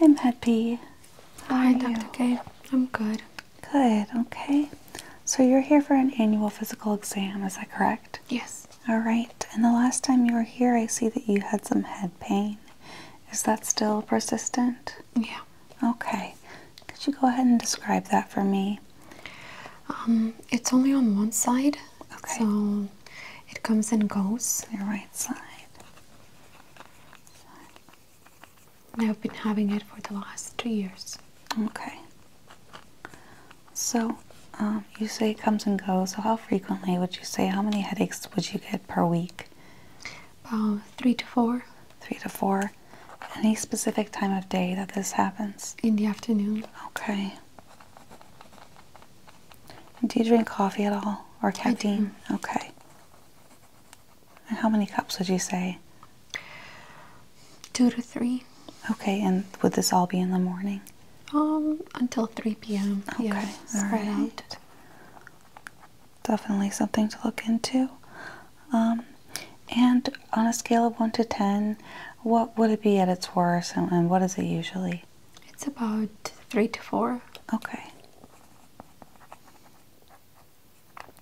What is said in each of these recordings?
I'm happy. Hi, Dr. Kate. I'm good. Good, okay. So you're here for an annual physical exam, is that correct? Yes. All right. And the last time you were here, I see that you had some head pain. Is that still persistent? Yeah. Okay. Could you go ahead and describe that for me? Um, it's only on one side. So it comes and goes. Your right side. I've been having it for the last two years. Okay. So um, you say it comes and goes. So how frequently would you say? How many headaches would you get per week? About uh, three to four. Three to four. Any specific time of day that this happens? In the afternoon. Okay. Do you drink coffee at all or caffeine? Okay. And how many cups would you say? Two to three. Okay, and would this all be in the morning? Um, until 3 p.m. Okay, yeah, spread out. Definitely something to look into. Um, and on a scale of 1 to 10, what would it be at its worst and, what is it usually? It's about 3 to 4. Okay.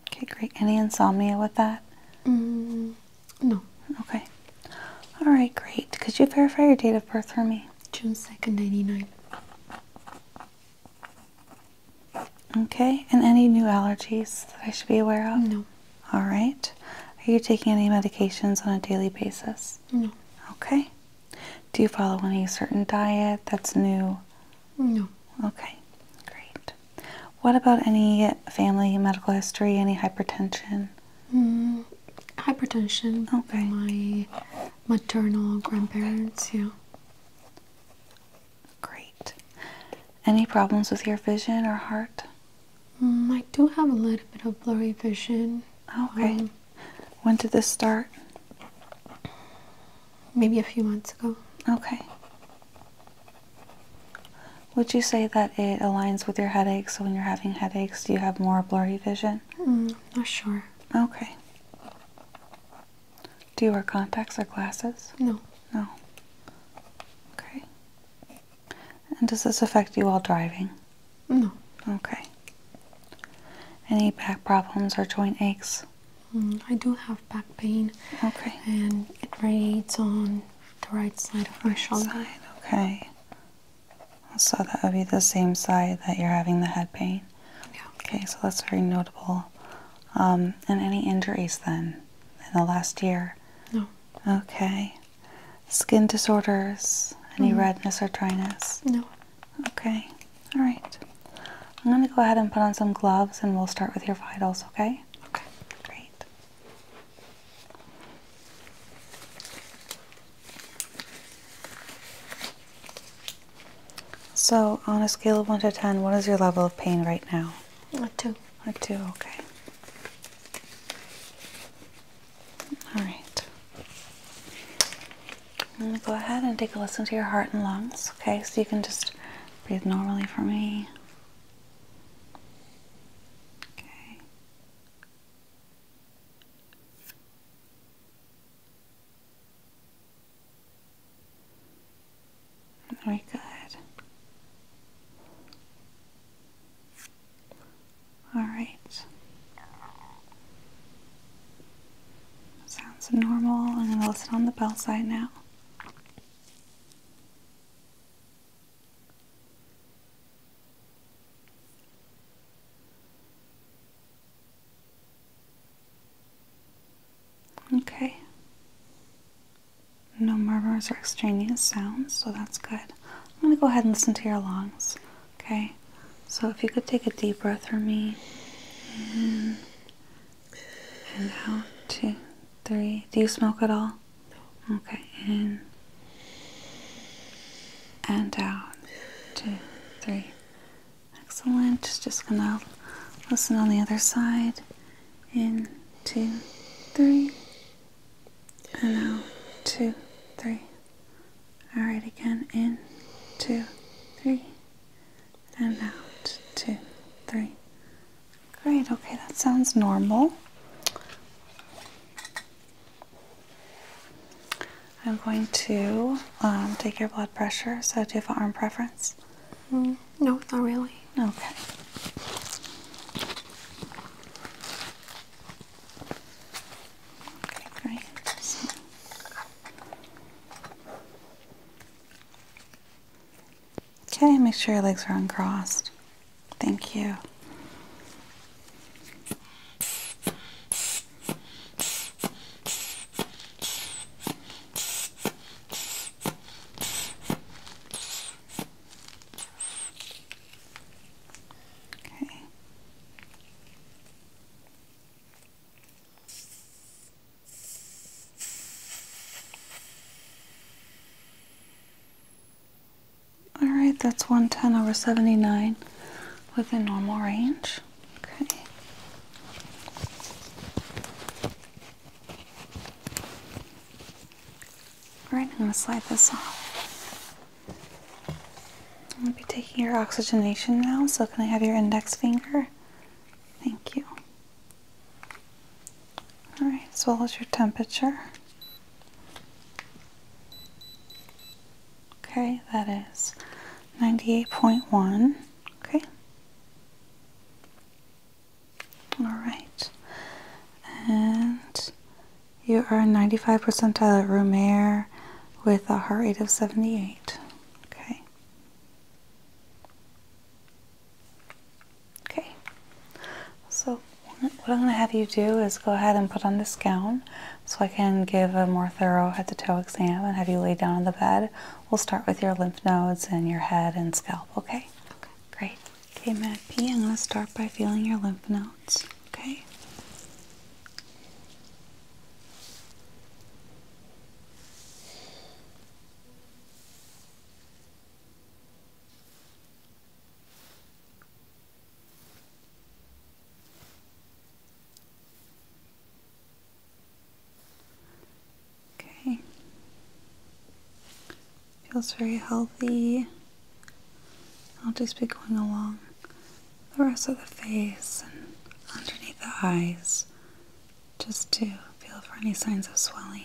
Okay, great. Any insomnia with that? Mm, no. Okay. All right, great. Could you verify your date of birth for me? June 2nd, 99. Okay, and any new allergies that I should be aware of? No. All right. Are you taking any medications on a daily basis? No. Okay. Do you follow any certain diet that's new? No. Okay, great. What about any family medical history, any hypertension? Mm, hypertension. Okay. My maternal grandparents, yeah. Great. Any problems with your vision or heart? Mm, I do have a little bit of blurry vision. Okay. Um, when did this start? Maybe a few months ago. Okay. Would you say that it aligns with your headaches? So when you're having headaches, do you have more blurry vision? Mm, not sure. Okay. Do you wear contacts or glasses? No. No. Okay. And does this affect you while driving? No. Okay. Any back problems or joint aches? Mm, I do have back pain. Okay. And it radiates on the right side of my shoulder. Side. Okay. So that would be the same side that you're having the head pain. Yeah. Okay, so that's very notable um, and any injuries then in the last year? No. Okay. Skin disorders? Any mm-hmm. redness or dryness? No. Okay. All right. I'm going to go ahead and put on some gloves and we'll start with your vitals, okay? Okay. Great. So, on a scale of 1 to 10, what is your level of pain right now? A 2. I do, okay. Alright. I'm going to go ahead and take a listen to your heart and lungs, okay? So you can just breathe normally for me. Okay. Very good. All right. Sounds normal. I'm going to listen on the bell side now. Okay. No murmurs or extraneous sounds, so that's good. I'm going to go ahead and listen to your lungs. Okay? So if you could take a deep breath for me. and out. Two, three. Do you smoke at all? No. Okay. In and out. Two, three. Excellent. Just going to listen on the other side in two, three, and out, two, three. All right, again, in two, three, and out, two, three. Great, okay, that sounds normal. I'm going to um, take your blood pressure. So, do you have an arm preference? Mm-hmm no, not really. Okay. Okay, great. Okay, make sure your legs are uncrossed. Thank you. Okay. All right, that's 110 over 79 within normal range. Okay. Alright, I'm going to slide this off. I'm going to be taking your oxygenation now, so can I have your index finger? Thank you. Alright, as well as your temperature. Okay, that is 98.1. Okay. All right. And you are 95 percentile room air with a heart rate of 78. Okay. Okay. So what I'm going to have you do is go ahead and put on this gown so I can give a more thorough head to toe exam and have you lay down on the bed. We'll start with your lymph nodes and your head and scalp, okay? Okay, great. Okay, Matt P, I'm going to start by feeling your lymph nodes, okay? Okay. Feels very healthy. I'll just be going along the rest of the face and underneath the eyes just to feel for any signs of swelling.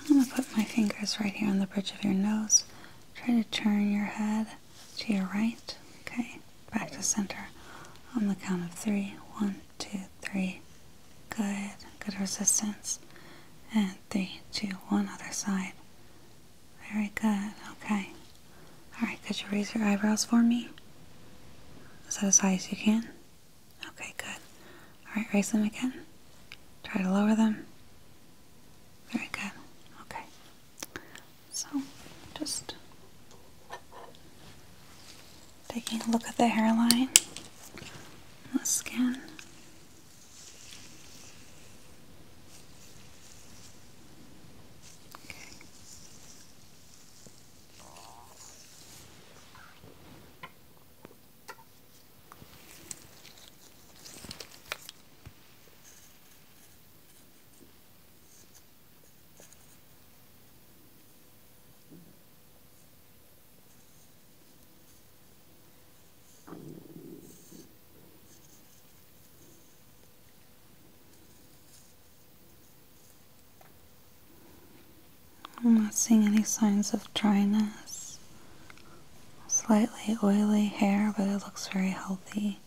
I'm going to put my fingers right here on the bridge of your nose. Try to turn your head to your right. Okay, back to center on the count of three: one, two, three. Good, good resistance. And three, two, one, other side. Very good, okay. Alright, could you raise your eyebrows for me? as high as you can? Okay, good. Alright, raise them again. Try to lower them. Very good. Okay. So, just taking a look at the hairline, the skin. I'm not seeing any signs of dryness slightly oily hair, but it looks very healthy.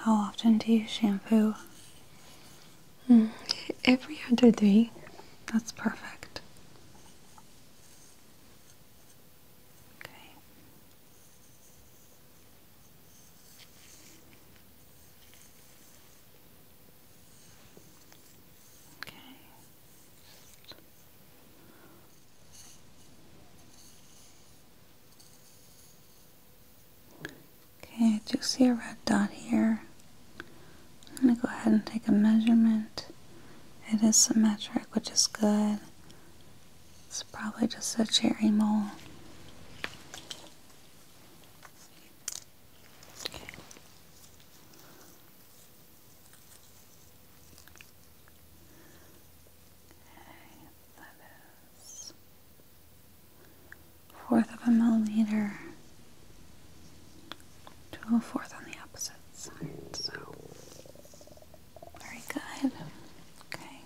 How often do you shampoo? Hmm, every other day. That's perfect. Okay. Okay. Okay, Do you see a red dot here. I'm going to go ahead and take a measurement. It is symmetric, which is good. It's probably just a cherry mole that is fourth of a millimeter to a fourth on the opposite side. So very good. Okay.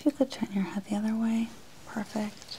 If you could turn your head the other way, perfect.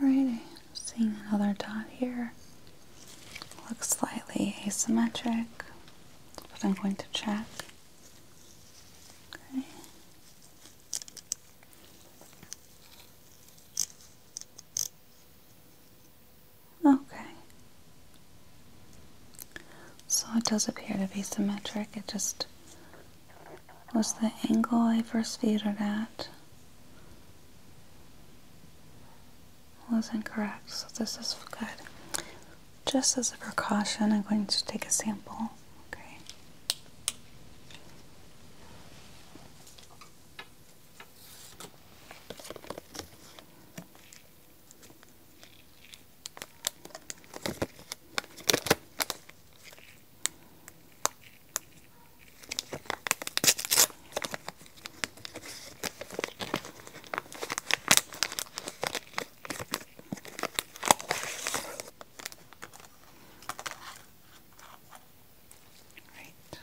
Alright, I'm seeing another dot here. Looks slightly asymmetric, but I'm going to check. Okay. Okay. So it does appear to be symmetric, it just was the angle I first viewed it at was incorrect, so this is good. Just as a precaution, I'm going to take a sample. Okay. Right. So it's there.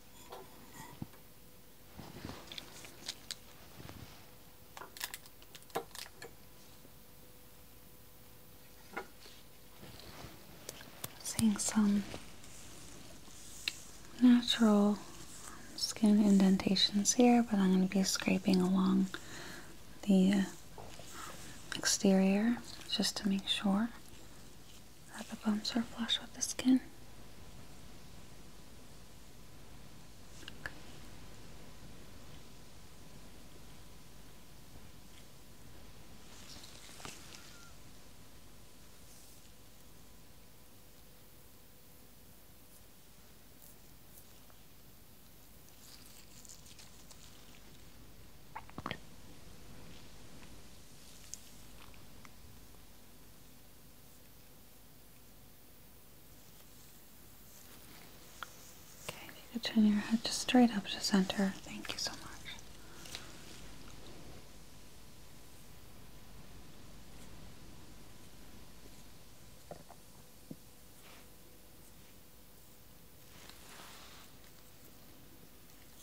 Seeing some natural skin indentations here, but I'm going to be scraping along the exterior just to make sure that the bumps are flush with the skin. Okay, if you could turn your head just straight up to center. Thank you so much.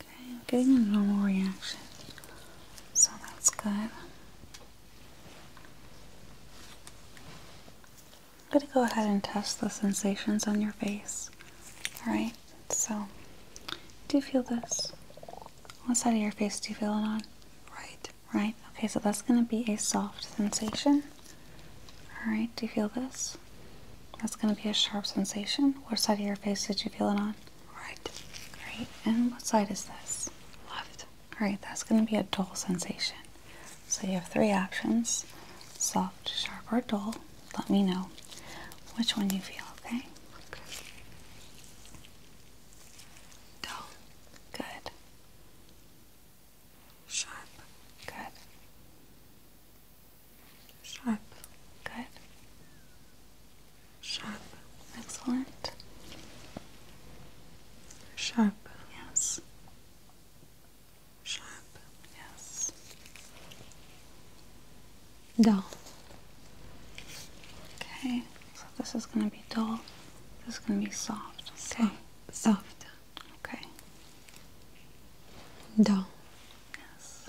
Okay, I'm getting a normal reaction, so that's good. I'm going to go ahead and test the sensations on your face. Alright, so do you feel this? What side of your face do you feel it on? Right right? Okay, so that's going to be a soft sensation. Alright, do you feel this? That's going to be a sharp sensation. What side of your face did you feel it on? Right. Great. And what side is this? Left. Alright, that's going to be a dull sensation. So you have three options soft, sharp, or dull. Let me know which one you feel, okay? okay. Dull. Good. Sharp. Good. Sharp. Good. Sharp. Excellent. Sharp. Yes. Sharp. Yes. Dull. Okay, so this is going to be dull. This is going to be soft. Okay. Soft soft. Okay. Dull. Yes.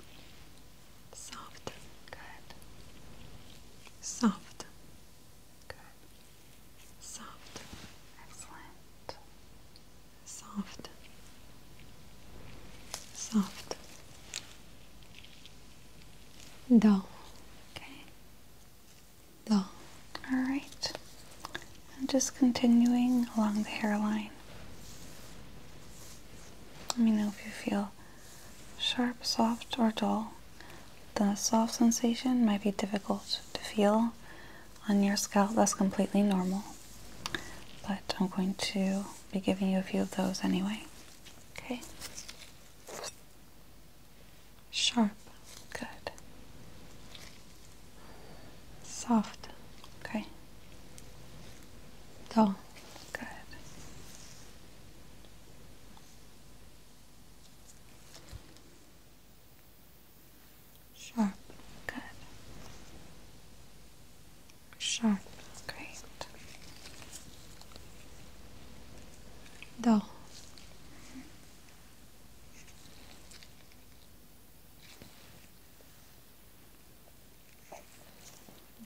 Soft. Good. Soft. Good. Soft. Excellent. Soft. Soft. Dull. Okay long. Alright, I'm just continuing along the hairline. Let me know if you feel sharp, soft, or dull. The soft sensation might be difficult to feel on your scalp, that's completely normal. But I'm going to be giving you a few of those anyway. Okay? Sharp. Good. Soft. Okay. Dull. Good. Sharp. Good. Sharp. Great. Dull.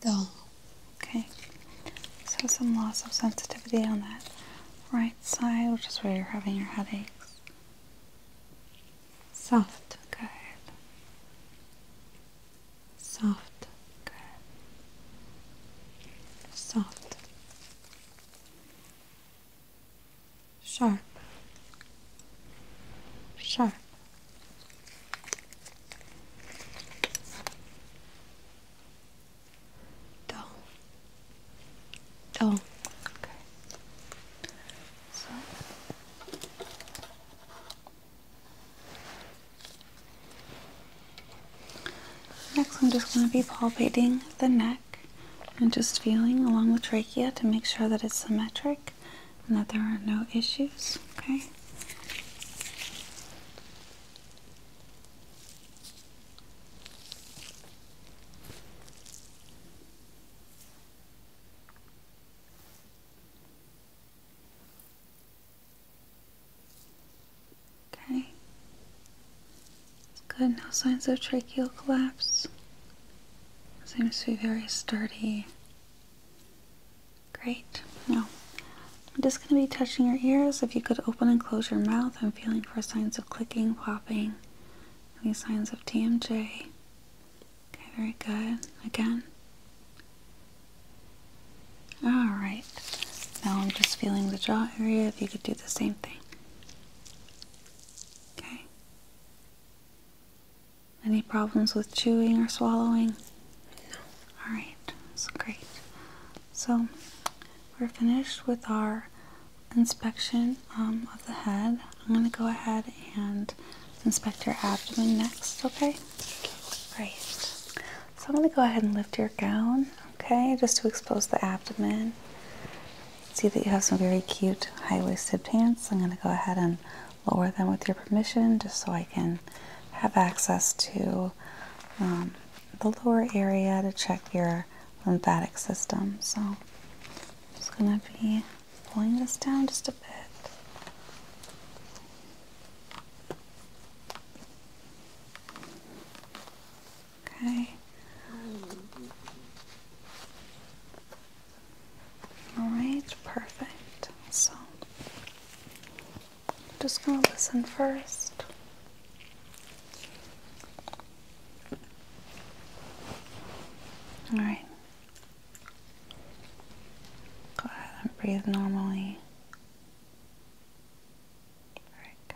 Dull. Okay. So some loss of sensitivity on that right side, which is where you're having your headaches. Soft. Good. Soft. Good. Soft sharp, sharp. Dull, dull. Okay. So. Next, I'm just going to be palpating the neck and just feeling along the trachea to make sure that it's symmetric and that there are no issues. Okay. Okay. Good, no signs of tracheal collapse. Seems to be very sturdy. Great. Now, I'm just going to be touching your ears. If you could open and close your mouth, I'm feeling for signs of clicking, popping, any signs of TMJ. Okay, very good. Again. All right. Now I'm just feeling the jaw area. If you could do the same thing. Okay. Any problems with chewing or swallowing? No. Alright, that's great. So, we're finished with our inspection um, of the head. I'm going to go ahead and inspect your abdomen next, okay? Great. So, I'm going to go ahead and lift your gown, okay, just to expose the abdomen see that you have some very cute high-waisted pants. I'm going to go ahead and lower them with your permission just so I can have access to um, the lower area to check your lymphatic system. So I'm just going to be pulling this down just a bit. Okay. All right, perfect. So, I'm just gonna listen first. All right. Go ahead and breathe normally. Very good.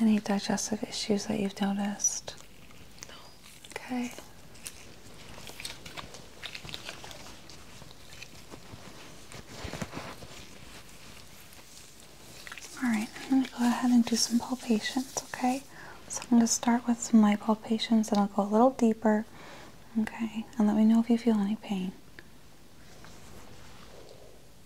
Any digestive issues that you've noticed? No. Okay. Alright, I'm going to go ahead and do some palpations, okay? So I'm going to start with some light palpations and I'll go a little deeper, okay? And let me know if you feel any pain.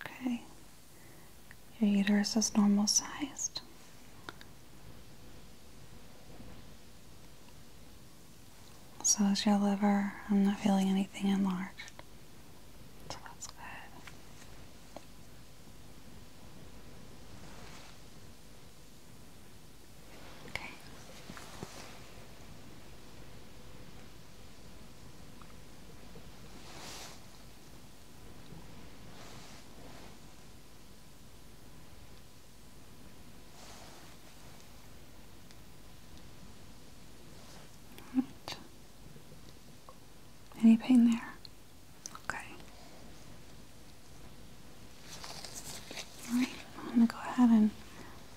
Okay. Your uterus is normal sized. So is your liver. I'm not feeling anything enlarged. So that's good. Okay. Any pain there? Okay. Alright, I'm gonna go ahead and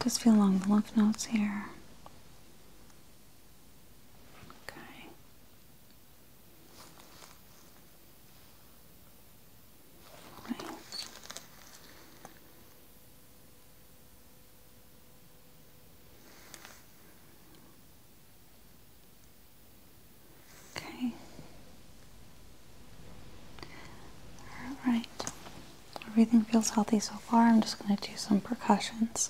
just feel along the lymph nodes here. Okay. Right. Okay. All right. Everything feels healthy so far. I'm just going to do some percussions.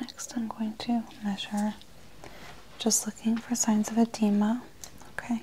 Next, I'm going to measure just looking for signs of edema. Okay.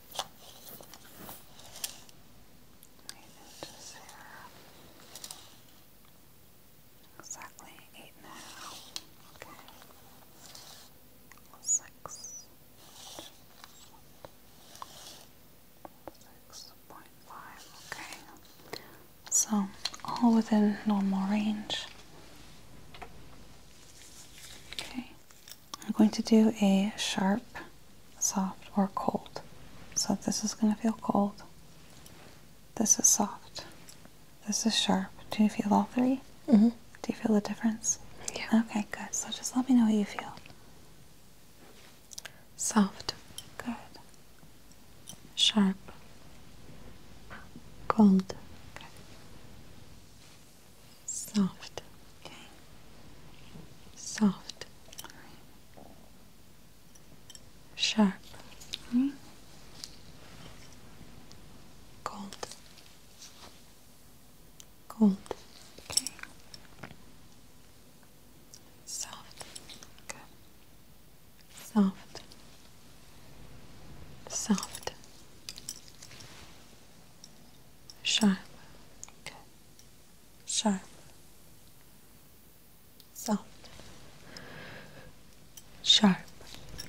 Right inches here. Okay. Six. Six point five. Okay. So all within normal range. Okay. I'm going to do a sharp, soft, or cold. So this is going to feel cold. This is soft. This is sharp. Do you feel all 3 -hmm. Do you feel the difference? Yeah. Okay, good. So just let me know what you feel. Soft. Good. Sharp. Cold. Good. Soft. Okay. Soft. All right. Sharp. All hmm? right. Cold. Cold. Okay. Soft. Good. Soft. Soft. Sharp. Good sharp, soft, sharp,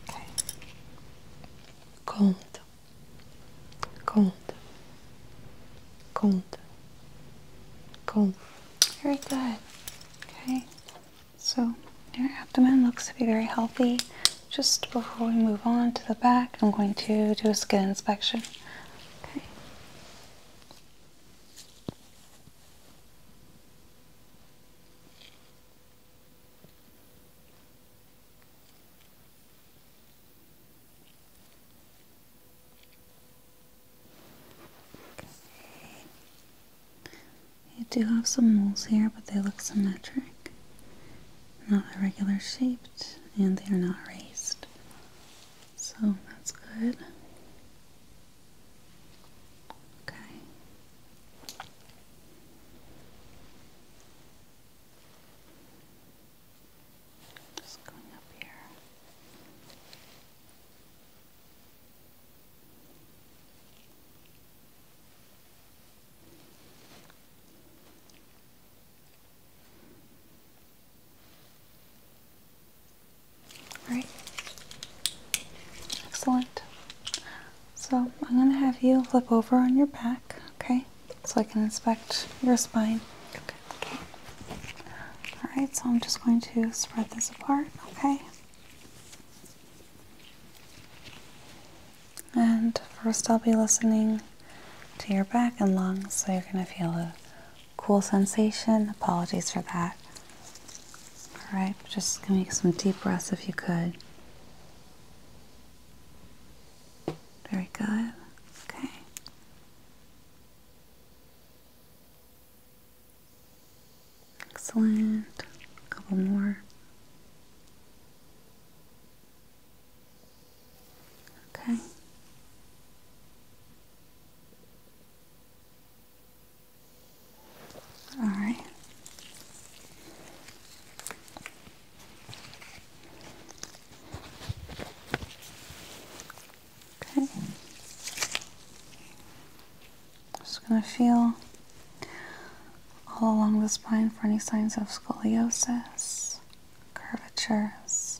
okay, cold, cold, cold, cold. Very good. Okay, so your abdomen looks to be very healthy. Just before we move on to the back, I'm going to do a skin inspection. Okay. You do have some moles here, but they look symmetric, not irregular shaped, and they are not raised. So that's good. Okay. Just going up here. Right. Excellent. So I'm going to have you flip over on your back, okay? So I can inspect your spine. okay. Alright, so I'm just going to spread this apart, okay? And first I'll be listening to your back and lungs, so you're going to feel a cool sensation. Apologies for that. All right, just give me some deep breaths if you could. Very good. Okay. Excellent. A couple more. Okay. All right. Okay. Just going to feel all along the spine for any signs of scoliosis, curvatures,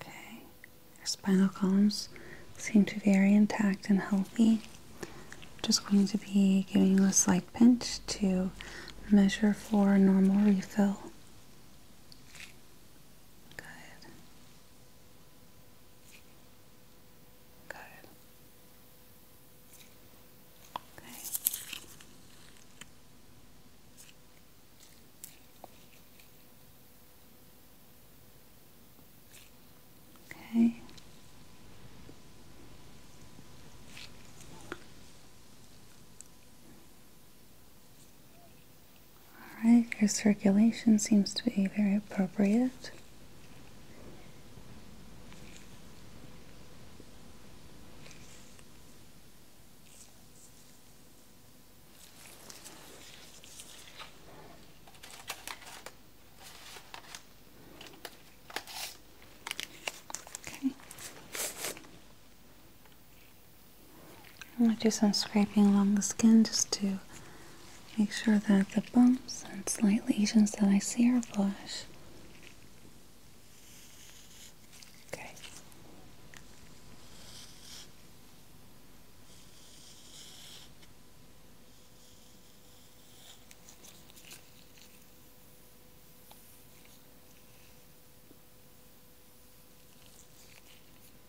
Okay, your spinal columns seem to be very intact and healthy. just going to be giving a slight pinch to measure for a normal refill. Good. Got Okay. Okay. Alright, your circulation seems to be very appropriate. Okay. I'm going to do some scraping along the skin just to Make sure that the bumps and slight lesions that I see are flush. Okay.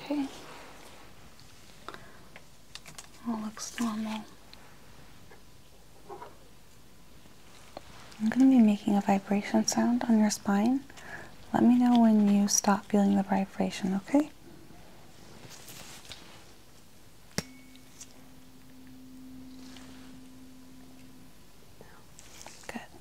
Okay. All looks normal. I'm going to be making a vibration sound on your spine. Let me know when you stop feeling the vibration, okay? Good.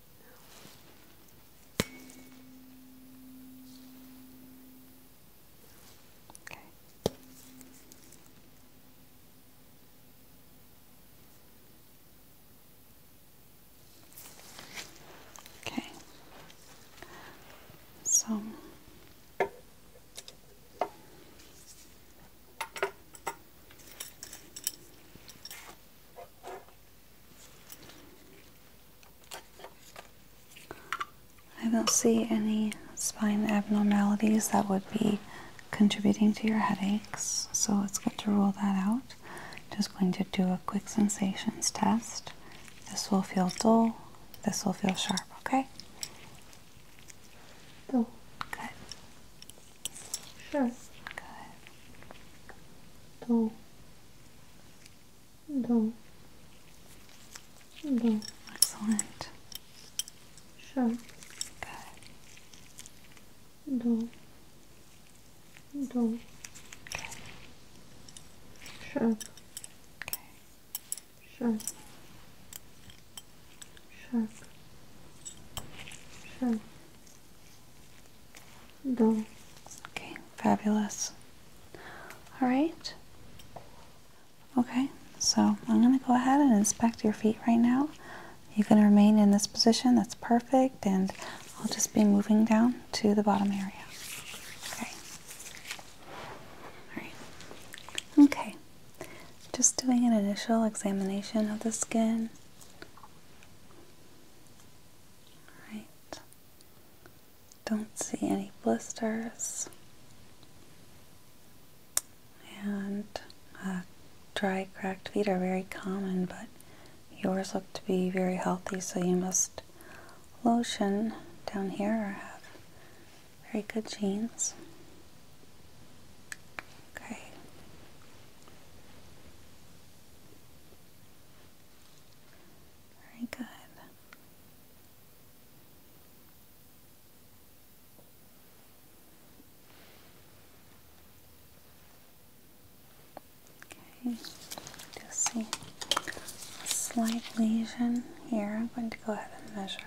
No. Okay. Okay. So I don't see any spine abnormalities that would be contributing to your headaches, so it's good to rule that out. Just going to do a quick sensations test. This will feel dull, this will feel sharp, okay? Dull. Good. Sure. Good do, do, do. Excellent. Sure. Good. Do, do. Okay. Sharp. Okay. Sharp. Sharp. Sharp. Okay, fabulous. All right. Okay, so I'm going to go ahead and inspect your feet right now. You can remain in this position, that's perfect, and I'll just be moving down to the bottom area. Okay. All right. Okay. Just doing an initial examination of the skin. Alright. Don't see any blisters. And uh, dry, cracked feet are very common, but yours look to be very healthy, so you must lotion down here or have very good jeans. Okay. Very good. Okay, just see a here. I'm going to go ahead and measure.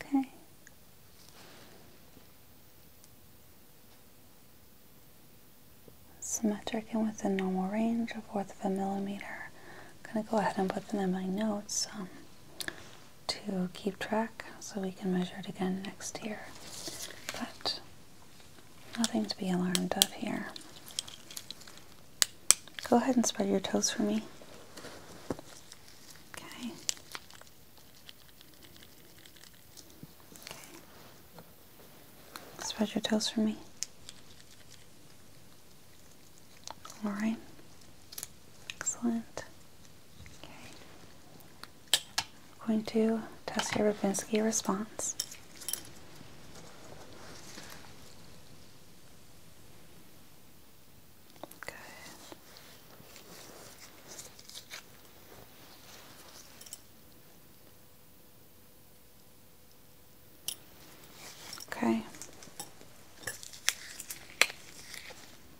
Okay. Symmetric and within normal range, a fourth of a millimeter. I'm going to go ahead and put that in my notes um, to keep track so we can measure it again next year. But nothing to be alarmed of here. Go ahead and spread your toes for me. Okay. okay. Spread your toes for me. All right. Excellent. Okay. going to test your Rubinsky response. Good. Okay.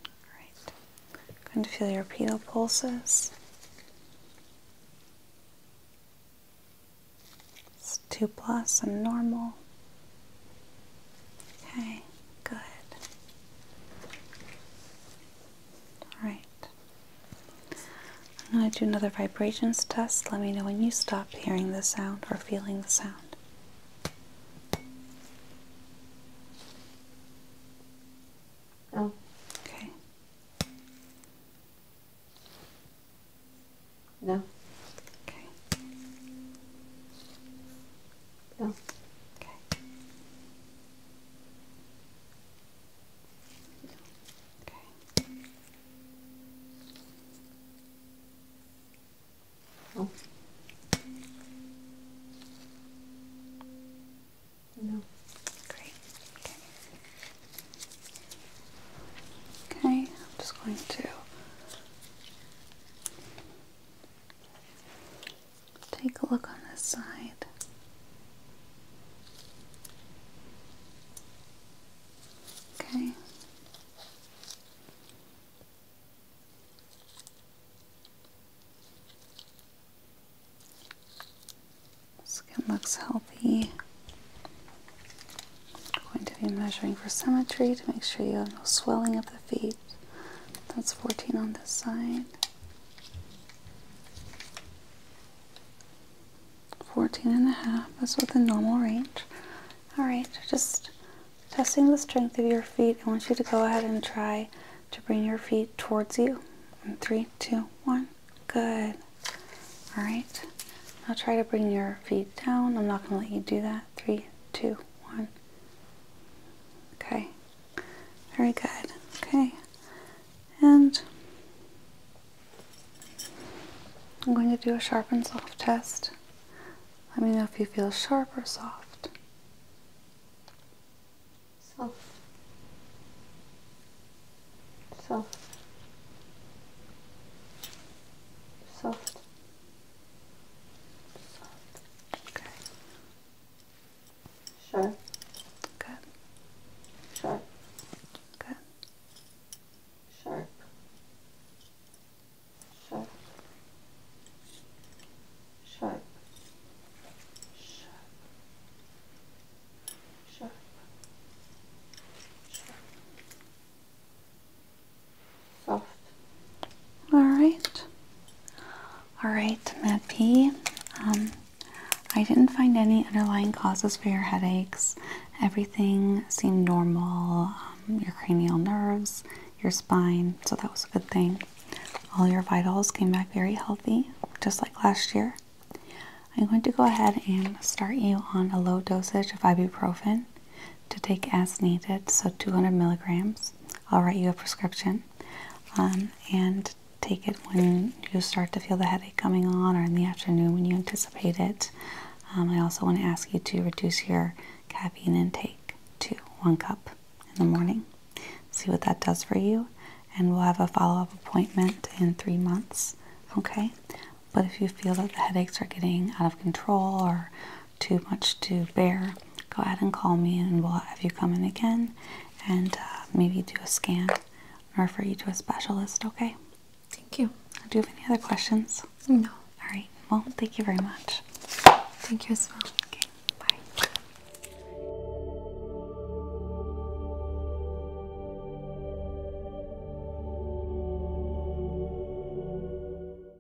All going to feel your pedal pulses. 2 plus and normal. Okay, good. Alright. I'm going to do another vibrations test. Let me know when you stop hearing the sound or feeling the sound. Oh. Okay. No. Okay. No. Okay. No. Okay. No. Great. Okay. Okay, I'm just going to Take a look on this side. Okay. Skin looks healthy. I'm going to be measuring for symmetry to make sure you have no swelling up feet. That's 14 on this side. 14 and a half. That's within normal range. Alright, just testing the strength of your feet. I want you to go ahead and try to bring your feet towards you. In three, two, one. Good. Alright. Now try to bring your feet down. I'm not going to let you do that three, two, one. Okay, very good. Okay, and I'm going to do a sharp and soft test. Let me know if you feel sharp or soft. Soft. Soft. Soft. Okay. Sure. Good. Sharp. Good. Sharp. Sharp. Sharp. Sharp. Sharp. Sharp. Alright. Alright, Med um, I didn't find any underlying causes for your headaches. Everything seemed normal. Um, your cranial nerves, your spine, so that was a good thing. All your vitals came back very healthy, just like last year. I'm going to go ahead and start you on a low dosage of ibuprofen to take as needed, so 200 milligrams. I'll write you a prescription um, and take it when you start to feel the headache coming on or in the afternoon when you anticipate it. Um, I also want to ask you to reduce your caffeine intake to one cup in the morning. See what that does for you, and we'll have a follow up appointment in three months. Okay, but if you feel that the headaches are getting out of control or too much to bear, go ahead and call me and we'll have you come in again and uh, maybe do a scan refer you to a specialist, okay? Thank you. Do you have any other questions? No. All right. Well, thank you very much. Thank you as well. Okay. Bye.